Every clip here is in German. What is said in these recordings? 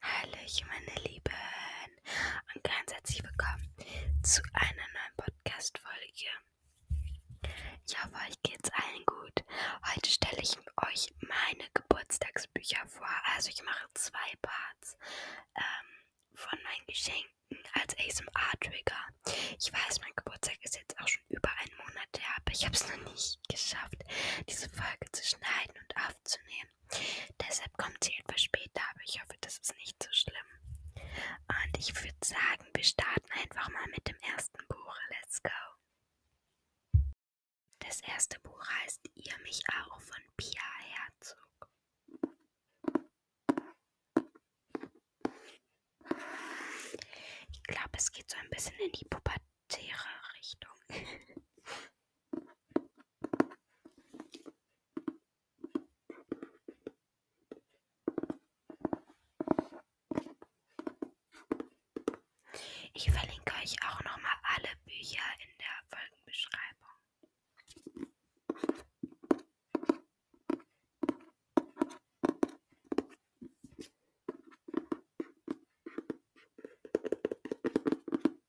Hallöchen, meine Lieben und ganz herzlich willkommen zu einer neuen Podcast-Folge. Ich hoffe, euch geht's allen gut. Heute stelle ich euch meine Geburtstagsbücher vor. Also ich mache zwei Parts ähm, von meinen Geschenken als ASMR-Trigger. Ich weiß, mein Geburtstag ist jetzt auch schon über einen Monat her, aber ich habe es noch nicht geschafft, diese Folge zu schneiden und aufzunehmen sein. Deshalb kommt sie etwas später, aber ich hoffe, das ist nicht so schlimm. Und ich würde sagen, wir starten einfach mal mit dem ersten Buch. Let's go! Das erste Buch heißt Ihr mich auch von Pia Herzog. Ich glaube, es geht so ein bisschen in die Pubertät. Terra-Richtung. Ich verlinke euch auch nochmal alle Bücher in der Folgenbeschreibung.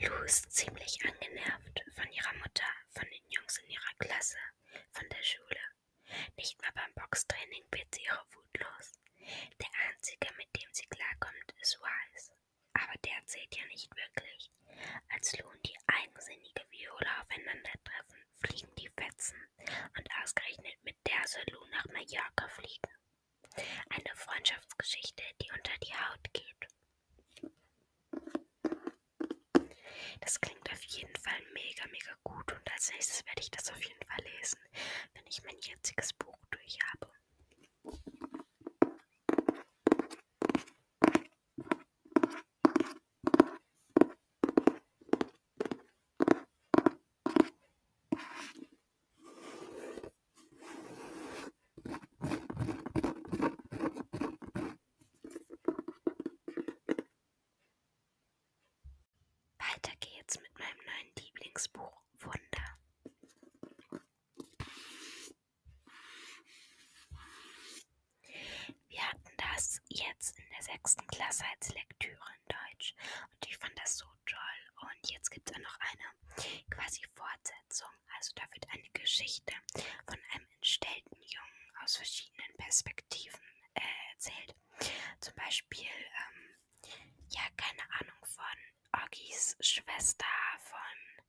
Lou ist ziemlich angenervt von ihrer Mutter, von den Jungs in ihrer Klasse von der Schule. Nicht mal beim Boxtraining wird sie ihre Wut los. Der Einzige, mit dem sie klarkommt, ist Wise. Aber der zählt ja nicht wirklich. Als Lou und die eigensinnige Viola aufeinandertreffen, fliegen die Fetzen. Und ausgerechnet mit der soll Lou nach Mallorca fliegen. Eine Freundschaftsgeschichte, die unter die Haut geht. Das klingt auf jeden Fall mega, mega gut und als nächstes werde ich das auf jeden Fall lesen, wenn ich mein jetziges Buch durch habe. Weiter geht's mit meinem neuen Lieblingsbuch Wunder. Wir hatten das jetzt in der sechsten Klasse als Lektüre in Deutsch und ich fand das so toll. Und jetzt gibt es auch noch eine quasi Fortsetzung Verknüpfung, also da wird eine Geschichte von einem entstellten Jungen aus verschiedenen Perspektiven äh, erzählt. Zum Beispiel, ähm, ja, keine Ahnung, von Orgis Schwester, von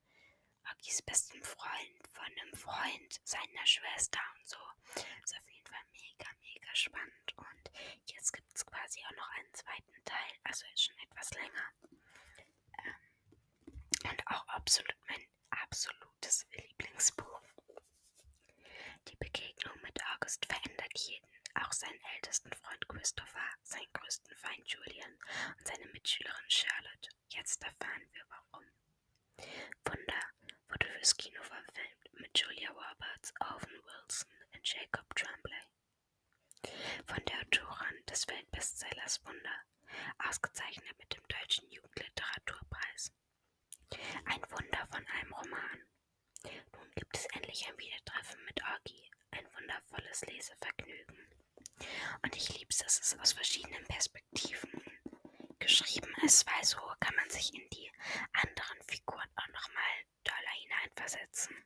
Orgis bestem Freund, von einem Freund seiner Schwester und so. Ist auf jeden Fall mega, mega spannend. Und jetzt gibt es quasi auch noch einen zweiten Teil, also ist schon etwas länger. Ähm, und auch absolut mein absolutes Lieblingsbuch. Die Begegnung mit August verändert jeden, auch seinen ältesten Freund Christopher, seinen größten Feind Julian und seine Mitschülerin Charlotte. Jetzt erfahren wir warum. Wunder wurde fürs Kino verfilmt mit Julia Roberts, Owen Wilson und Jacob Tremblay. Von der Autorin des Weltbestsellers Wunder ausgezeichnet mit dem Deutschen Jugendliteraturpreis. Ein Wunder von einem Roman. Nun gibt es endlich ein Wiedertreffen mit Orgi, ein wundervolles Lesevergnügen. Und ich lieb's, dass es aus verschiedenen Perspektiven geschrieben ist, weil so kann man sich in die anderen Figuren auch nochmal doller hineinversetzen.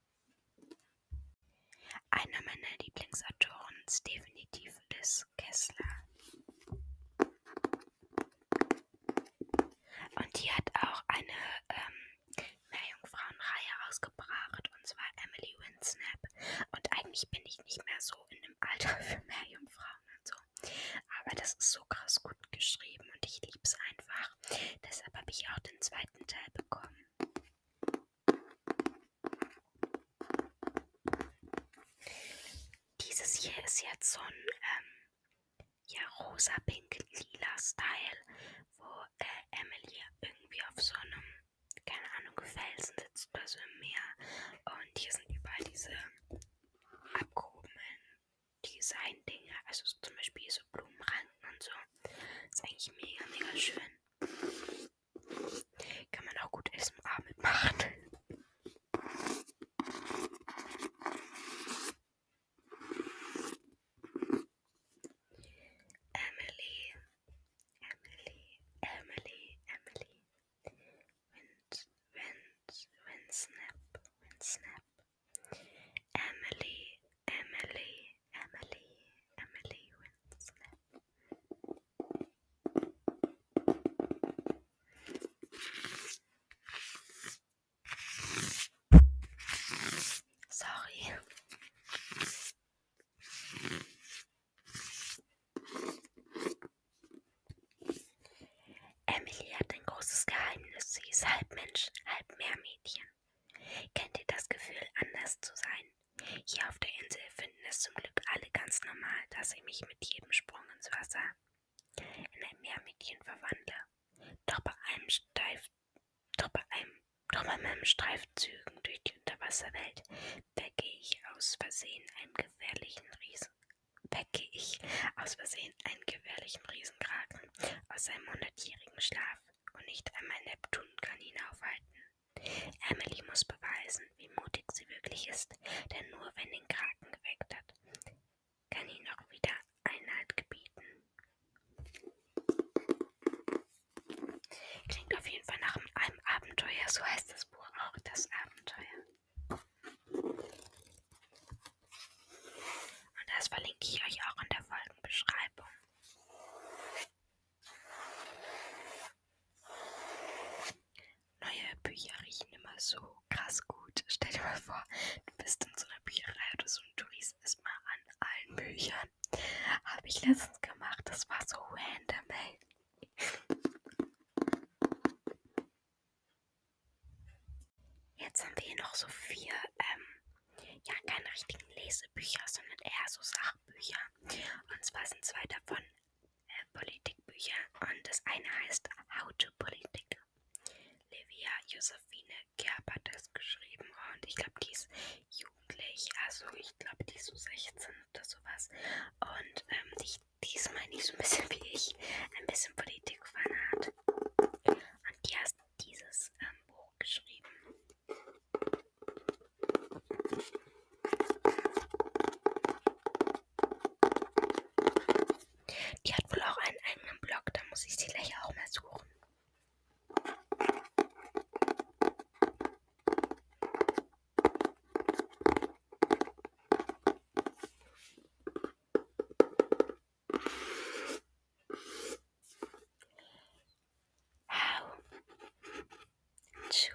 Einer meiner Lieblingsautoren ist definitiv Liz Kessler. Und die hat auch eine ähm, Meerjungfrauenreihe rausgebracht, und zwar Emily Winsnap. Und eigentlich bin ich nicht mehr so in dem Alter für Meerjungfrauen und so. Aber das ist so krass gut geschrieben und ich liebe es einfach. Deshalb habe ich auch den zweiten Gegenteil bekommen. Dieses hier ist jetzt so ein ähm, ja, rosa-pink-lila Style, wo äh, Emily irgendwie auf so einem, keine Ahnung, Felsen sitzt oder so im Meer. Und hier sind überall diese abgehobenen Design-Dinge, also zum Beispiel so Blumenranken und so. Ist eigentlich mega, mega schön. Kann man auch gut essen Abend machen. Emily, Emily, Emily, Emily. Wind, wind, wind, snap, wind, snap. Emily, Emily, Emily, Emily Winslet. Sorry. Emily hat ein großes Geheimnis. Sie ist halb Mensch, halb Meermädchen. Kennt ihr das Gefühl, anders zu sein? Hier auf der Insel finden es zum Glück alle ganz normal, dass ich mich mit jedem Sprung ins Wasser in ein Meermädchen verwandle. Doch bei einem Steif, doch bei einem, doch bei meinen Streifzügen durch die Unterwasserwelt wecke ich aus Versehen einen gefährlichen Riesen, wecke ich aus Versehen einen gefährlichen Riesenkraken aus seinem hundertjährigen Schlaf und nicht einmal Neptun kann ihn aufhalten. Emily muss beweisen, wie mutig sie wirklich ist, denn nur wenn den Kraken geweckt hat, kann ihn auch wieder Einhalt gebieten. Klingt auf jeden Fall nach einem Abenteuer, so heißt das Buch auch, das Abenteuer. Und das verlinke ich euch auch in der Folgenbeschreibung. Neue Bücher riechen immer so krass gut. Stell dir mal vor, du bist in so einer Bücherei oder so und du riechst erstmal an allen Büchern. Habe ich letztens gemacht. Das war so random, ey. Jetzt haben wir hier noch so vier ähm, ja, keine richtigen Lesebücher, sondern eher so Sachbücher. Und zwar sind zwei davon äh, Politikbücher und das eine heißt How to Politik. Livia Josephine Gerb hat das geschrieben und ich glaube, die ist jugendlich, also ich glaube, die ist so 16 oder sowas. Und ähm, die, die ist, meine ich, so ein bisschen wie ich, ein bisschen Politikfanat. Und die heißt dieses ähm, Buch geschrieben. Die hat wohl auch einen eigenen Blog, da muss ich sie gleich auch mal suchen. How to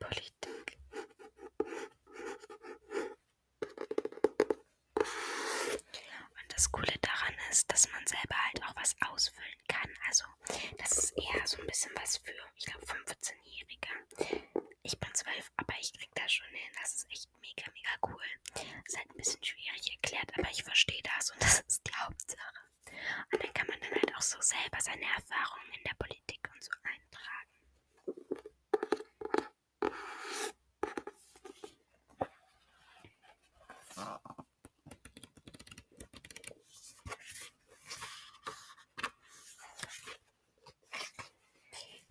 Politik. Und das Coole daran ist, dass man selber halt auch was ausfüllen kann. Also, das ist eher so ein bisschen was für, ich glaube, 15-Jährige. Ich bin 12, aber ich krieg das schon hin. Das ist echt echt mega, mega cool. Ist halt ein bisschen schwierig erklärt, aber ich verstehe das und das ist die Hauptsache. Und dann kann man dann halt auch so selber seine Erfahrungen in der Politik und so eintragen.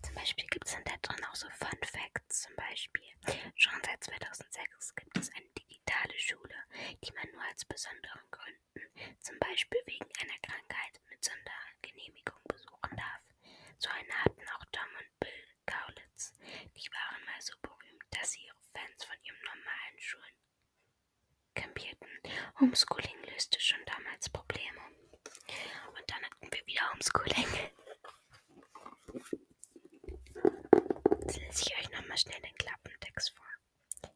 Zum Beispiel gibt es dann da drin auch so Fun Facts. Zum Beispiel, schon seit 2006 gibt es eine digitale Schule, die man nur als besonderen Gründen, zum Beispiel wegen einer Krankheit, mit Sondergenehmigung besuchen darf. So eine hatten auch Tom und Bill Kaulitz. Die waren mal so berühmt, dass sie ihre Fans von ihren normalen Schulen kampierten. Homeschooling löste schon damals Probleme. Und dann hatten wir wieder Homeschooling. Jetzt lese ich euch nochmal schnell den Klappentext vor.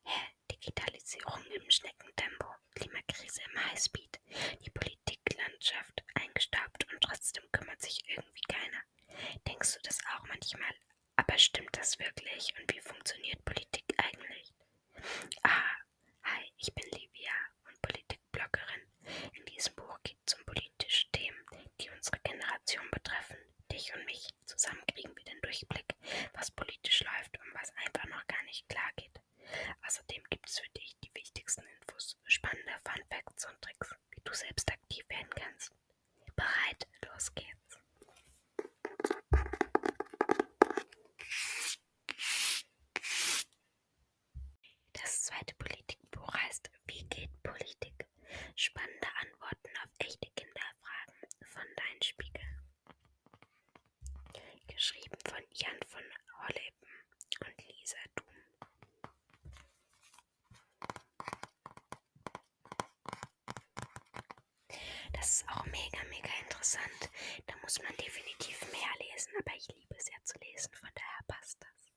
Hä? Digitalisierung im Schneckentempo, Klimakrise im Highspeed, die Politiklandschaft eingestaubt und trotzdem kümmert sich irgendwie keiner. Denkst du das auch manchmal? Aber stimmt das wirklich und wie funktioniert Politik eigentlich? Ah, hi, ich bin Livia und Politikbloggerin. In diesem Buch zum politischen Themen, die unsere Generation betreffen. Dich und mich, zusammen kriegen wir den Durchblick, was politisch läuft und was einfach noch gar nicht klar geht. Außerdem gibt es für dich die wichtigsten Infos, spannende Fun Facts und Tricks, wie du selbst aktiv werden kannst. Bereit, los geht's! Das zweite Politikbuch heißt Wie geht Politik? Spannende Antworten auf echte Kinderfragen von Dein Spiegel. Geschrieben von Jan von Holleben und Lisa Thum. Das ist auch mega, mega interessant. Da muss man definitiv mehr lesen, aber ich liebe es ja zu lesen, von daher passt das.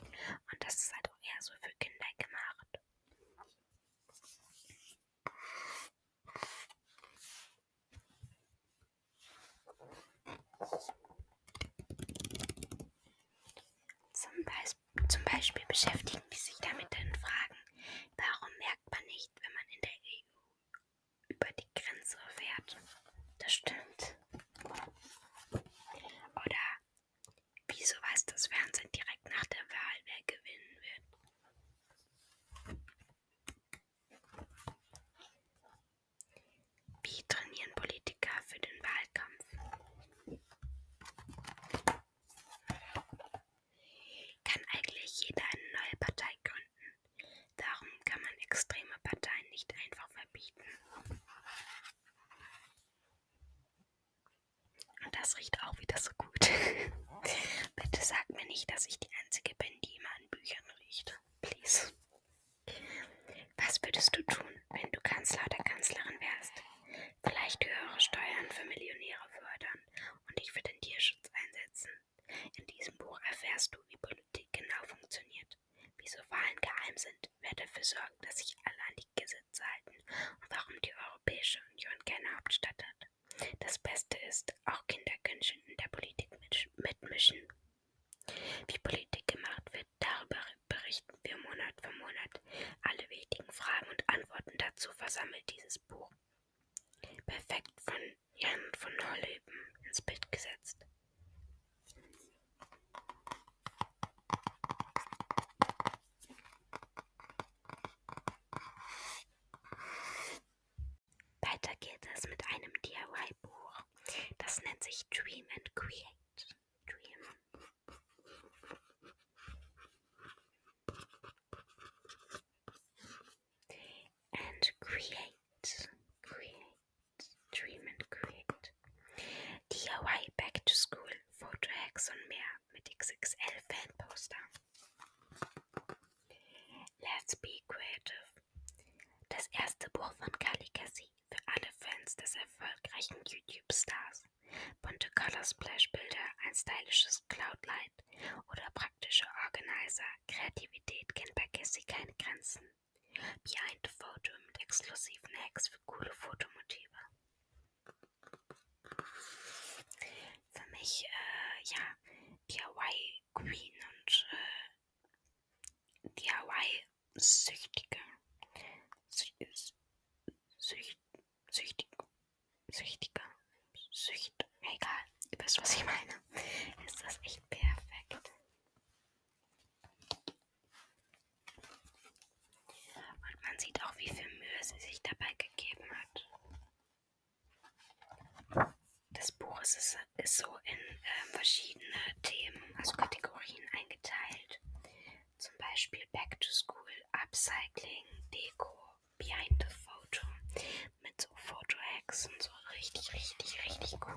Und das ist halt auch eher so für Kinder gemacht. Zum, Beis zum Beispiel beschäftigen die sich damit in Fragen, warum merkt man nicht, wenn man in der EU über die Grenze fährt. Das stimmt. Oder wieso weiß das Fernsehen direkt nach der Wahl, wer gewinnen wird? Wie trainieren Politiker für den Wahlkampf? Kann eigentlich jeder eine neue Partei gründen? Darum kann man extreme Parteien nicht einfach verbieten. Und das riecht auch wieder so gut. Bitte sag mir nicht, dass ich die Einzige bin, die immer an Büchern riecht. Please. Was würdest du tun, wenn du Kanzler oder Kanzlerin wärst? Vielleicht höhere Steuern für Millionäre fördern und dich für den Tierschutz einsetzen. In diesem Buch erfährst du, wie Politik genau funktioniert. Zukunft. Wieso Wahlen geheim sind, wer dafür sorgt, dass sich alle an die Gesetze halten und warum die Europäische Union keine Hauptstadt hat. Das Beste ist, auch Kinder können schon in der Politik mitmischen. Wie Politik gemacht wird, darüber berichten wir Monat für Monat. Alle wichtigen Fragen und Antworten dazu versammelt dieses Buch. Perfekt von Jan von Holleben ins Bild gesetzt. Weiter geht es mit einem DIY-Buch. Das nennt sich Dream and Create. Dream. And create, create. Treatment Create. DIY Back to School, Fotohacks und mehr mit XXL Fanposter. Let's Be Creative. Das erste Buch von Calicassi für alle Fans des erfolgreichen YouTube-Stars. Bunte Color-Splash-Bilder, ein stylisches Cloud-Light oder praktische Organizer. Kreativität kennt bei Cassie keine Grenzen. Behind the Photo mit exklusiven Hacks für coole Fotomotive. Für mich, äh, ja, DIY Queen und äh, DIY Süchtige. Sü Sücht Süchtig Süchtiger. Sücht. Egal, ihr wisst, was ich meine. Ist das echt perfekt? Und man sieht auch, wie viel Mühe sie sich dabei gegeben hat. Das Buch ist, ist so in äh, verschiedene Themen, also Kategorien eingeteilt. Zum Beispiel Back to School, Upcycling, Deko, Behind the Photo mit so Photo-Hacks und so richtig, richtig, richtig cool.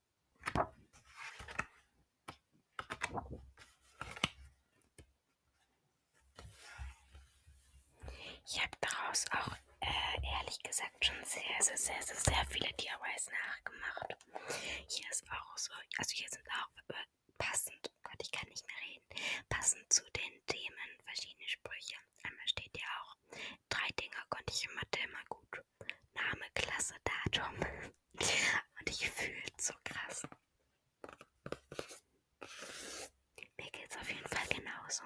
Ich habe daraus auch äh, ehrlich gesagt schon sehr, sehr, sehr, sehr, sehr viele DIYs nachgemacht. Hier ist auch so, also hier sind auch äh, passend, oh Gott, ich kann nicht mehr reden, passend zu den Themen verschiedene Sprüche. Einmal steht ja auch, drei Dinge konnte ich immer Mathe immer gut. Name, Klasse, Datum. Und ich fühle es so krass. Mir geht's auf jeden Fall genauso.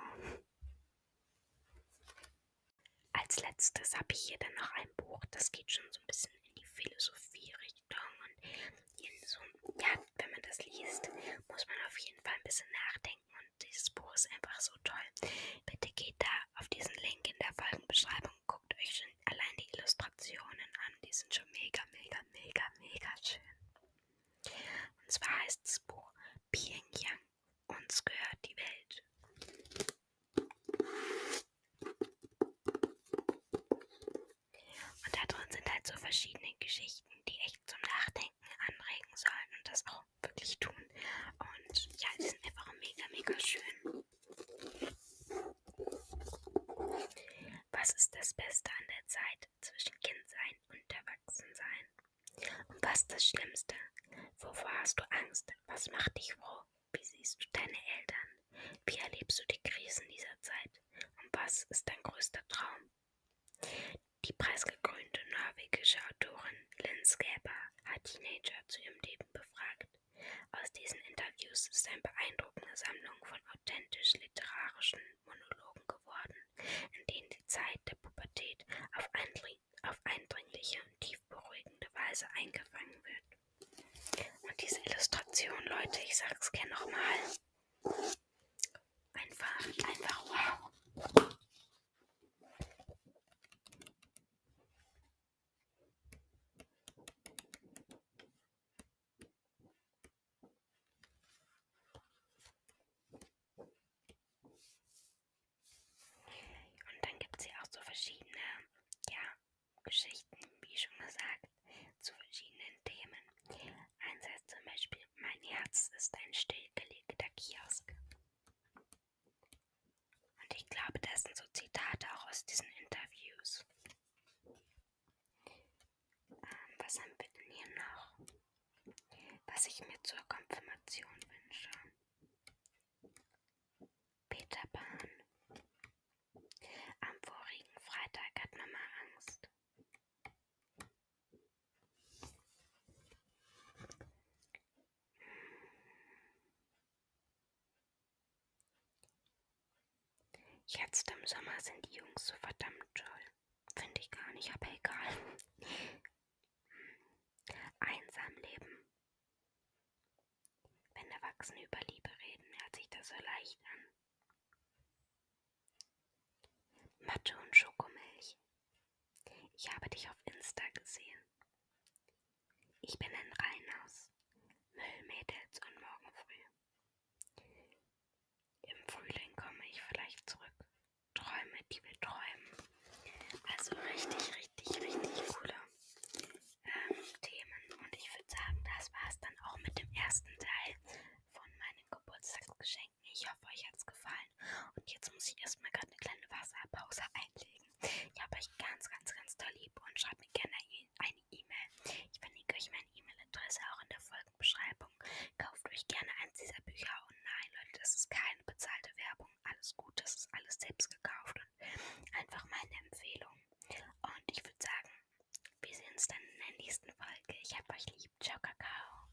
Als letztes habe ich hier dann noch ein Buch, das geht schon so ein bisschen in die Philosophie-Richtung. Und so, ja, wenn man das liest, muss man auf jeden Fall ein bisschen nachdenken. Und dieses Buch ist einfach so toll. Bitte geht da auf diesen Link in der Folgenbeschreibung und guckt euch schon allein die Illustrationen an. Die sind schon mega, mega, mega, mega schön. Und zwar heißt das Buch Pyongyang. Uns gehört die Welt. Und da drin sind halt so verschiedene Geschichten, die echt zum Nachdenken anregen sollen und das auch wirklich tun. Und ja, die sind einfach mega, mega schön. Was ist das Beste an der Zeit zwischen Kindsein und Erwachsensein? Und was das Schlimmste? Wovor hast du Angst? Was macht dich froh? Wie siehst du deine Eltern? Wie erlebst du die Krisen dieser Zeit? Und was ist dein größter Traum? Die preisgekrönte norwegische Autorin Lynn Skaber hat Teenager zu ihrem Leben befragt. Aus diesen Interviews ist eine beeindruckende Sammlung von authentisch literarischen Monologen geworden, in denen die Zeit der Pubertät auf, eindring auf eindringliche und tief beruhigende Weise eingefangen wird. Und diese Illustration, Leute, ich sag's gern nochmal. Einfach, einfach wow. Und dann gibt es hier auch so verschiedene, ja, Geschichten, wie schon gesagt, zu verschiedenen Themen. Eins heißt zum Beispiel, mein Herz ist ein stillgelegter Kiosk. Und ich glaube, das sind so Zitate auch aus diesen Interviews. Ähm, was haben wir denn hier noch? Was ich mir zur Konfirmation wünsche. Peter Pan. Am vorigen Freitag hat Mama Angst. Jetzt im Sommer sind die Jungs so verdammt toll. Finde ich gar nicht, aber egal. Einsam leben. Wenn Erwachsene über Liebe reden, hört sich das so leicht an. Mathe und Schokomilch. Ich habe dich auf Insta gesehen. Ich bin in Rheinhaus, Müllmädels und morgen früh. Im Frühling komme ich vielleicht zurück. Träume, die wir träumen. Also richtig, richtig, richtig coole ähm, Themen. Und ich würde sagen, das war es dann auch mit dem ersten Teil von meinen Geburtstagsgeschenken. Ich hoffe, euch hat es gefallen. Und jetzt muss ich erstmal gerade eine kleine Wasserpause einlegen. Ich habe euch ganz, ganz, ganz toll lieb und schreibt mir gerne e-, eine E-Mail. Ich verlinke euch meine E-Mail-Adresse auch in der Folgenbeschreibung. Kauft euch gerne eins dieser Bücher und oh nein, Leute, das ist keine bezahlte Werbung. Alles gut, das ist alles selbst gekauft und einfach meine Empfehlung. Und ich würde sagen, wir sehen uns dann in der nächsten Folge. Ich habe euch lieb. Ciao, Kakao.